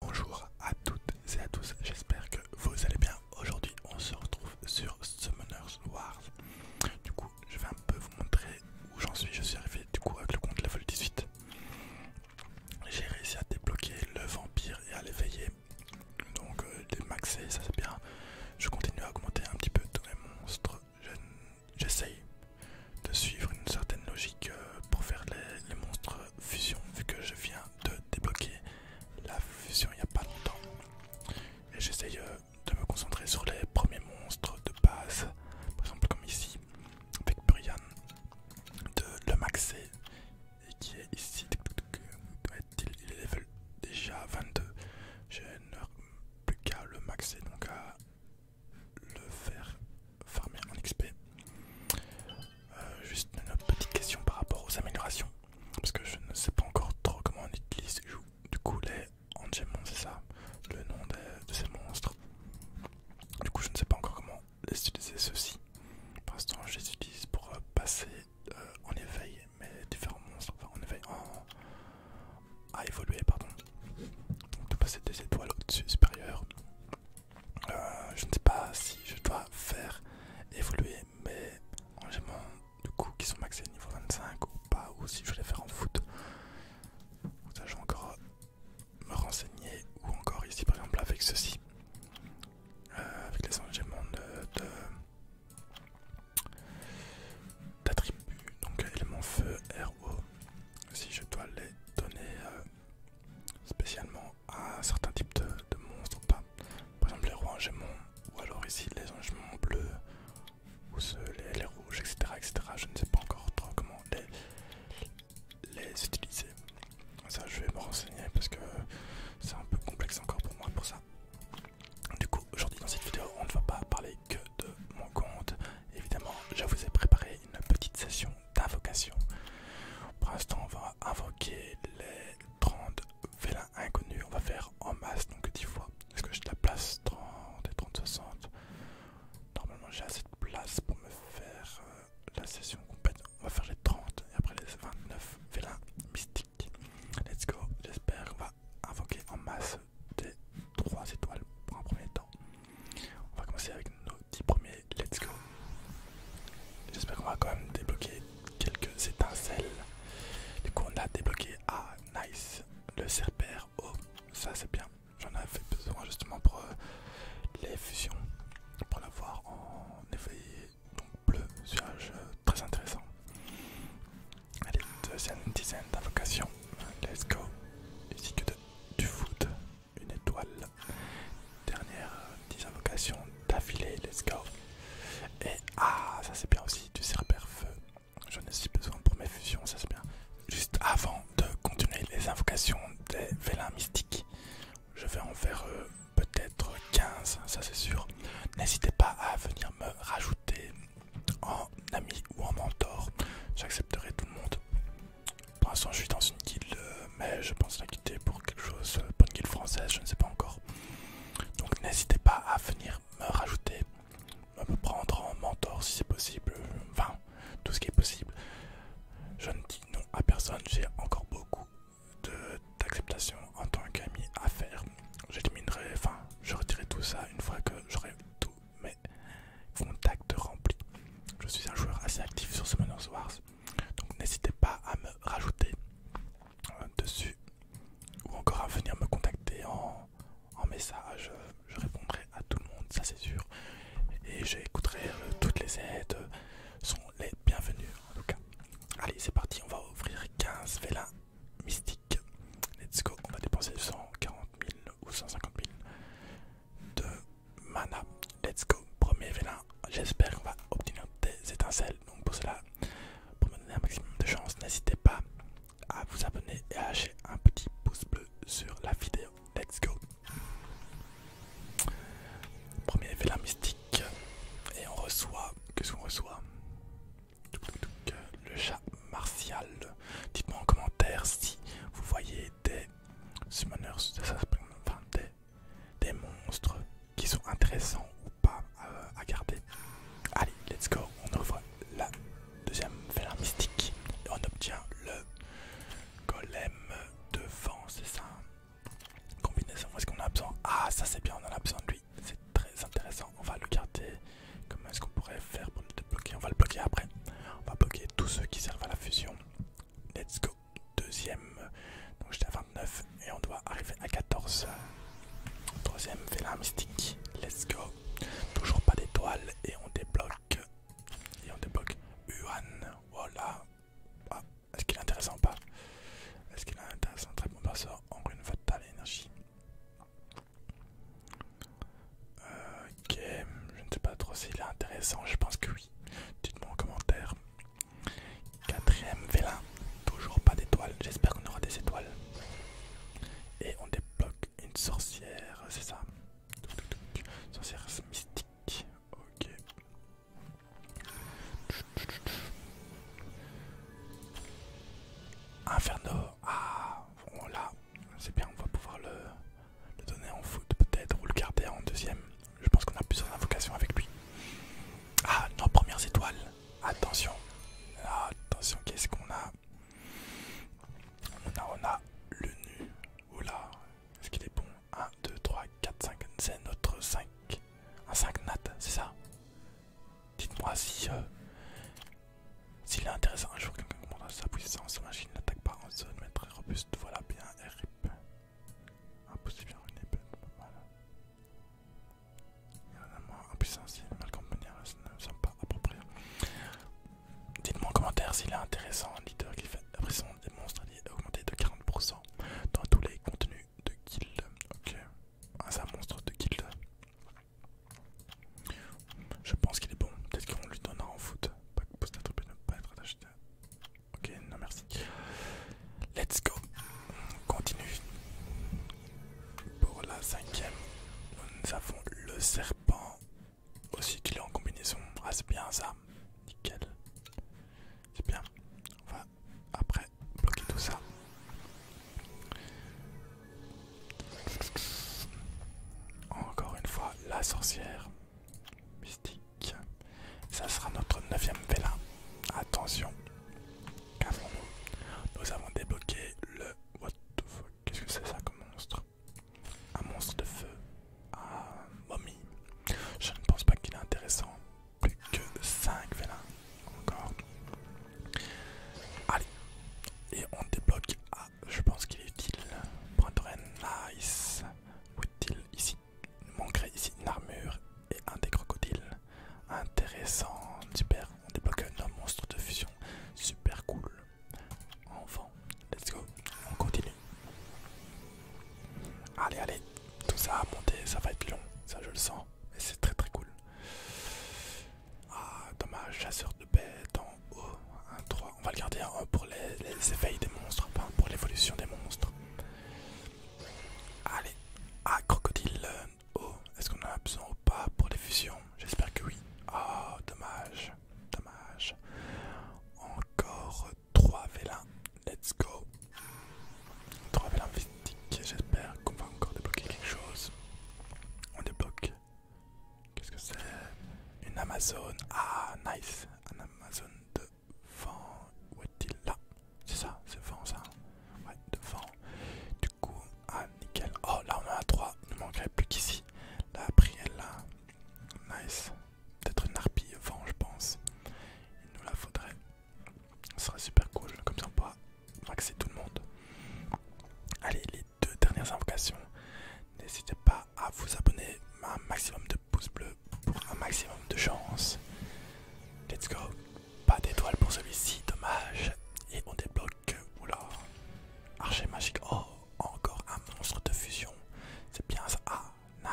Bonjour à toutes et à tous, j'espère que vous allez bien. Aujourd'hui on se retrouve sur Summoners Wars. Du coup je vais un peu vous montrer où j'en suis. Je suis arrivé du coup avec le compte level 18. J'ai réussi à débloquer le vampire et à l'éveiller. Donc euh, démaxer ça c'est bien. Je continue à augmenter un petit peu tous les monstres. J'essaye de suivre une certaine logique euh, pour faire les monstres fusion vu que je viens de débloquer la fusion il n'y a pas longtemps. Et j'essaye euh, de me concentrer sur les premiers monstres de base, par exemple comme ici avec Brian de le maxer et qui est ici. il est level déjà 22. j'ai plus qu'à le maxer donc à le faire farmer en XP. Euh, juste une petite question par rapport aux améliorations, parce que je ne sais pas encore trop comment on utilise du coup les Angemon, c'est ça le nom de, ces monstres. Du coup, je ne sais pas encore comment les utiliser Ceci, Pour l'instant, je les utilise pour euh, passer euh, en éveil mes différents monstres, enfin en éveil, en... à évoluer, pardon. de passer des étoiles au-dessus supérieur euh, je ne sais pas si je dois faire évoluer mes rangement du coup qui sont maxés niveau 25 ou pas, ou si je vais les faire en foot. je vais encore me renseigner, ou encore ici par exemple avec ceci, euh, avec les engagements de. d'attributs, donc éléments feu, RO, si je dois les donner euh, spécialement à certains types de, monstres, Par exemple les rois en ou alors ici les en bleus, ou ceux, les, rouges, etc., etc. Je ne sais pas encore trop comment les utiliser. Ça je vais me renseigner parce que c'est un peu complexe encore pour moi pour ça. Du coup aujourd'hui dans cette vidéo on ne va pas parler que de mon compte Évidemment, je vous ai préparé une petite session d'invocation. Pour l'instant, on va invoquer les 30 vélins inconnus. On va faire en masse, donc 10 fois. Est-ce que j'ai de la place 30 et 30, 60 Normalement, j'ai assez de place pour me faire euh, la session complète. On va faire les 30 et après les 29 vélins mystiques. Let's go. J'espère on va invoquer en masse des 3 étoiles pour un premier temps. On va commencer avec nos 10 premiers let's go. J'espère qu'on va quand même débloquer quelques étincelles. Du coup on a débloqué ah nice le serpère. Oh ça c'est bien. J'en avais besoin justement pour euh, les fusions. Pour l'avoir en effet donc bleu. C'est euh, très intéressant. Allez, deuxième dizaine d'invocations. Let's go. Ici que de du foot, une étoile. Dernière 10 invocations d'affilée, let's go. Et ah, ça c'est bien aussi, du serpère feu. J'en ai si besoin pour mes fusions, ça c'est bien. Juste avant de continuer les invocations des vélins mystiques, je vais en faire euh, peut-être 15, ça c'est sûr. N'hésitez pas à venir me rajouter en ami ou en mentor. J'accepterai tout le monde. Pour l'instant, je suis dans une guilde, euh, mais je pense la quitter pour quelque chose, euh, pour une guilde française, je ne sais pas encore. Donc n'hésitez pas à venir me rajouter, me prendre en mentor si c'est possible, enfin tout ce qui est possible. Je ne dis non à personne, j'ai encore beaucoup d'acceptation en tant qu'ami à faire. J'éliminerai, enfin je retirerai tout ça une fois que j'aurai tout mais contact rempli. Je suis un joueur assez actif sur Summoners Wars, donc n'hésitez pas à me rajouter euh, dessus ou encore à venir me contacter en, message. Je répondrai à tout le monde, ça c'est sûr, et j'écouterai euh, toutes les aides sont les bienvenues en tout cas. Allez, c'est parti, on va ouvrir 15 vélins mystiques. Let's go, on va dépenser 140 000 ou 150 000 de mana. Let's go, premier vélin. J'espère qu'on va obtenir des étincelles. Donc pour cela, pour me donner un maximum de chance, n'hésitez pas à vous abonner et à lâcher un petit pouce bleu sur la vidéo. Let's go. Premier vélin mystique. Et on reçoit. Qu'est-ce qu'on reçoit le chat martial. Dites-moi en commentaire si vous voyez des summoners, des, monstres qui sont intéressants ou pas euh, à, garder. Allez, let's go. On ouvre la deuxième félin mystique on obtient le golem de c'est ça Combinaison, est-ce qu'on a besoin Ah, ça c'est bien, on en a besoin de lui. C'est très intéressant, on va le garder. Comment est-ce qu'on pourrait faire pour nous débloquer On va le bloquer après. On va bloquer tous ceux qui servent à la fusion. Let's go. Deuxième. Donc j'étais à 29 et on doit arriver à 14. Troisième la mystique. Let's go. Toujours pas d'étoiles et on débloque. Et on débloque Yuan. Voilà. Ah, est-ce qu'il est intéressant ou pas Est-ce qu'il est intéressant Très bon perso en rune fatale énergie. Euh, ok, je ne sais pas trop s'il est intéressant, je pense que oui. Dites-moi en commentaire. Quatrième vélin, toujours pas d'étoiles, j'espère qu'on aura des étoiles. Et on débloque une sorcière, c'est ça Sorcière mystique, ok. Inferno, ah, voilà, c'est bien, on va pouvoir le, donner en foot peut-être, ou le garder en deuxième. Je pense qu'on a plusieurs invocations avec lui. Ah, nos premières étoiles. Attention. attention, qu'est-ce qu'on a on a, on a le nu. Oula, est-ce qu'il est bon 1, 2, 3, 4, 5. C'est notre 5. Un 5 nat, c'est ça Dites-moi si, euh, s'il est intéressant un jour quelqu'un commande sa puissance, sa machine n'attaque pas en zone, mais très robuste, voilà bien, RIP. Impossible une épée, pas approprié. Dites-moi en commentaire s'il est intéressant, leader qui fait la des monstres est de 40% dans tous les contenus de guild. Ok, ah, monstre de guild. Je pense qu'il est bon. Peut-être qu'on lui donnera en foot. Pas ne pas être attaché. Ok, non merci. Let's go. On continue. Pour la cinquième, nous avons le serpent. Aussi qu'il est en combinaison. Ah c'est bien ça. Nickel. C'est bien. On va après bloquer tout ça. Encore une fois, la sorcière mystique. Ça sera notre neuvième vélin. Attention, nous avons débloqué le... What the Qu'est-ce que c'est ça comme monstre Un monstre de feu. un momie. Je ne pense pas qu'il est intéressant plus que 5 vélins encore. Allez, et on débloque. Ah, je pense qu'il est utile. Brandren, nice. Utile ici. Manquerait ici une armure et un des crocodiles. Intéressant, super. On débloque un monstre de fusion. Super cool. Enfant, let's go. On continue. Allez, allez. Tout ça à monter, ça va être long. Ça, je le sens. Et c'est très très cool. Ah, dommage, chasseur de bêtes en haut. Un 3. On va le garder pour les, éveils des monstres, pour l'évolution des monstres. Allez, ah, crocodile oh, Est-ce qu'on en a besoin ou pas pour les fusions J'espère que oui. Ah, dommage, dommage. Encore 3 vélins. Let's go bien linguistique, j'espère qu'on va encore débloquer quelque chose. On débloque. Qu'est-ce que c'est Une Amazon. Ah, nice. Un Amazon de vent. Où est-il là C'est ça, c'est vent ça. Ouais, de vent. Du coup, ah, nickel. Oh, là on a 3. Il ne manquerait plus qu'ici. La Prielle. là. Nice. Peut-être une de vent, je pense. Il nous la faudrait. Ce serait super cool, comme ça on pourra maxer tout le monde. Allez, les deux dernières invocations. N'hésitez pas à vous abonner, un maximum de pouces bleus pour un maximum de chance. Let's go. Pas d'étoile pour celui-ci, dommage. Et on débloque, oula, archer magique. Oh, encore un monstre de fusion. C'est bien ça. Ah,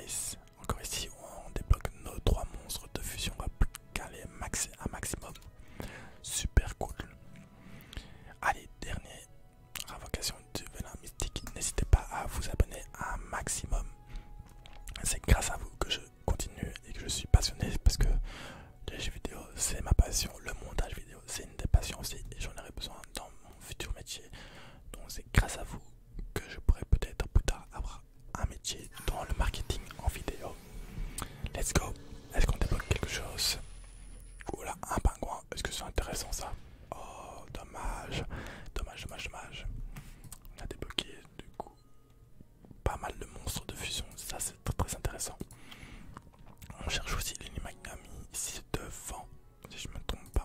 nice. Encore ici, on débloque nos trois monstres de fusion. On va caler un maximum. Super cool. Allez, dernier invocation du venin mystique. N'hésitez pas à vous abonner un maximum. C'est grâce à vous que je continue et que je suis passionné parce que les jeux vidéo, c'est ma passion. Le montage vidéo, c'est une des passions aussi et j'en aurai besoin dans mon futur métier. Donc c'est grâce à vous que je pourrais peut-être plus tard avoir un métier dans le marketing en vidéo. Let's go. Est-ce qu'on débloque quelque chose Voilà, un pingouin. Est-ce que c'est intéressant ça Oh, dommage. Dommage, dommage, dommage. On a débloqué du coup pas mal de monstres de fusion. Ça, c'est très, très intéressant. On cherche aussi McNamee ici devant, si je me trompe pas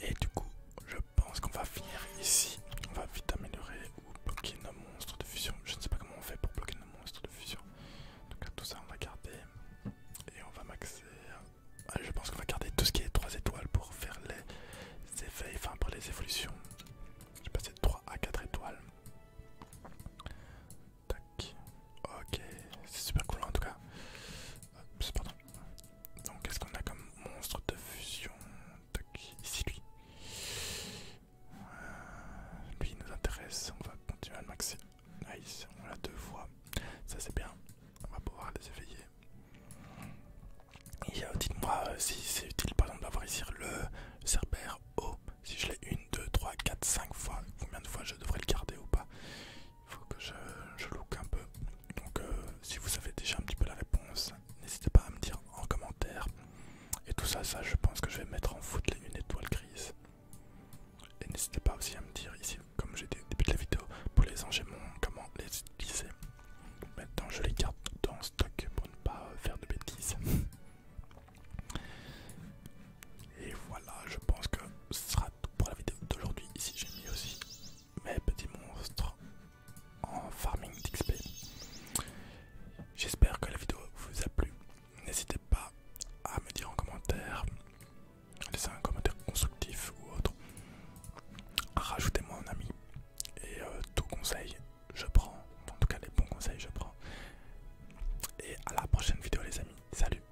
et du coup, je pense qu'on va finir ici. On va vite améliorer ou bloquer nos monstres de fusion. Je ne sais pas comment on fait pour bloquer nos monstres de fusion. tout cas, tout ça, on va garder. Et on va maxer. Ah, je pense qu'on va garder tout ce qui est 3 étoiles pour faire les effets, enfin pour les évolutions. vais passer de 3 à 4 étoiles. Tac. Ok, c'est super cool en tout cas. Pardon. Donc qu'est-ce qu'on a comme monstre de fusion Ici lui. Euh, lui nous intéresse, on va continuer à le maxer. Nice, on l'a deux fois. Ça c'est bien, on va pouvoir les éveiller. Et euh, dites-moi euh, si c'est utile par exemple d'avoir ici le Cerbère Si je l'ai une, deux, trois, quatre, cinq fois, combien de fois je devrais le garder ou pas faut que je, je look un peu. Donc euh, si vous savez déjà un petit peu la réponse, n'hésitez pas à me dire en commentaire. Et tout ça, ça je pense que je vais mettre en foot les lunettes étoiles grise. Et n'hésitez pas aussi à me dire ici, comme j'ai dit au début de la vidéo, pour les enchaînements, comment les utiliser. Maintenant je les garde dans stock pour ne pas faire de bêtises. Et voilà, je pense que ce sera tout pour la vidéo d'aujourd'hui, ici j'ai mis aussi mes petits monstres en farming d'XP. J'espère que la vidéo vous a plu. N'hésitez pas à me dire en commentaire, laissez un commentaire constructif ou autre. Rajoutez-moi un ami et euh, tout conseil je prends, en tout cas les bons conseils je prends. Et à la prochaine vidéo les amis, salut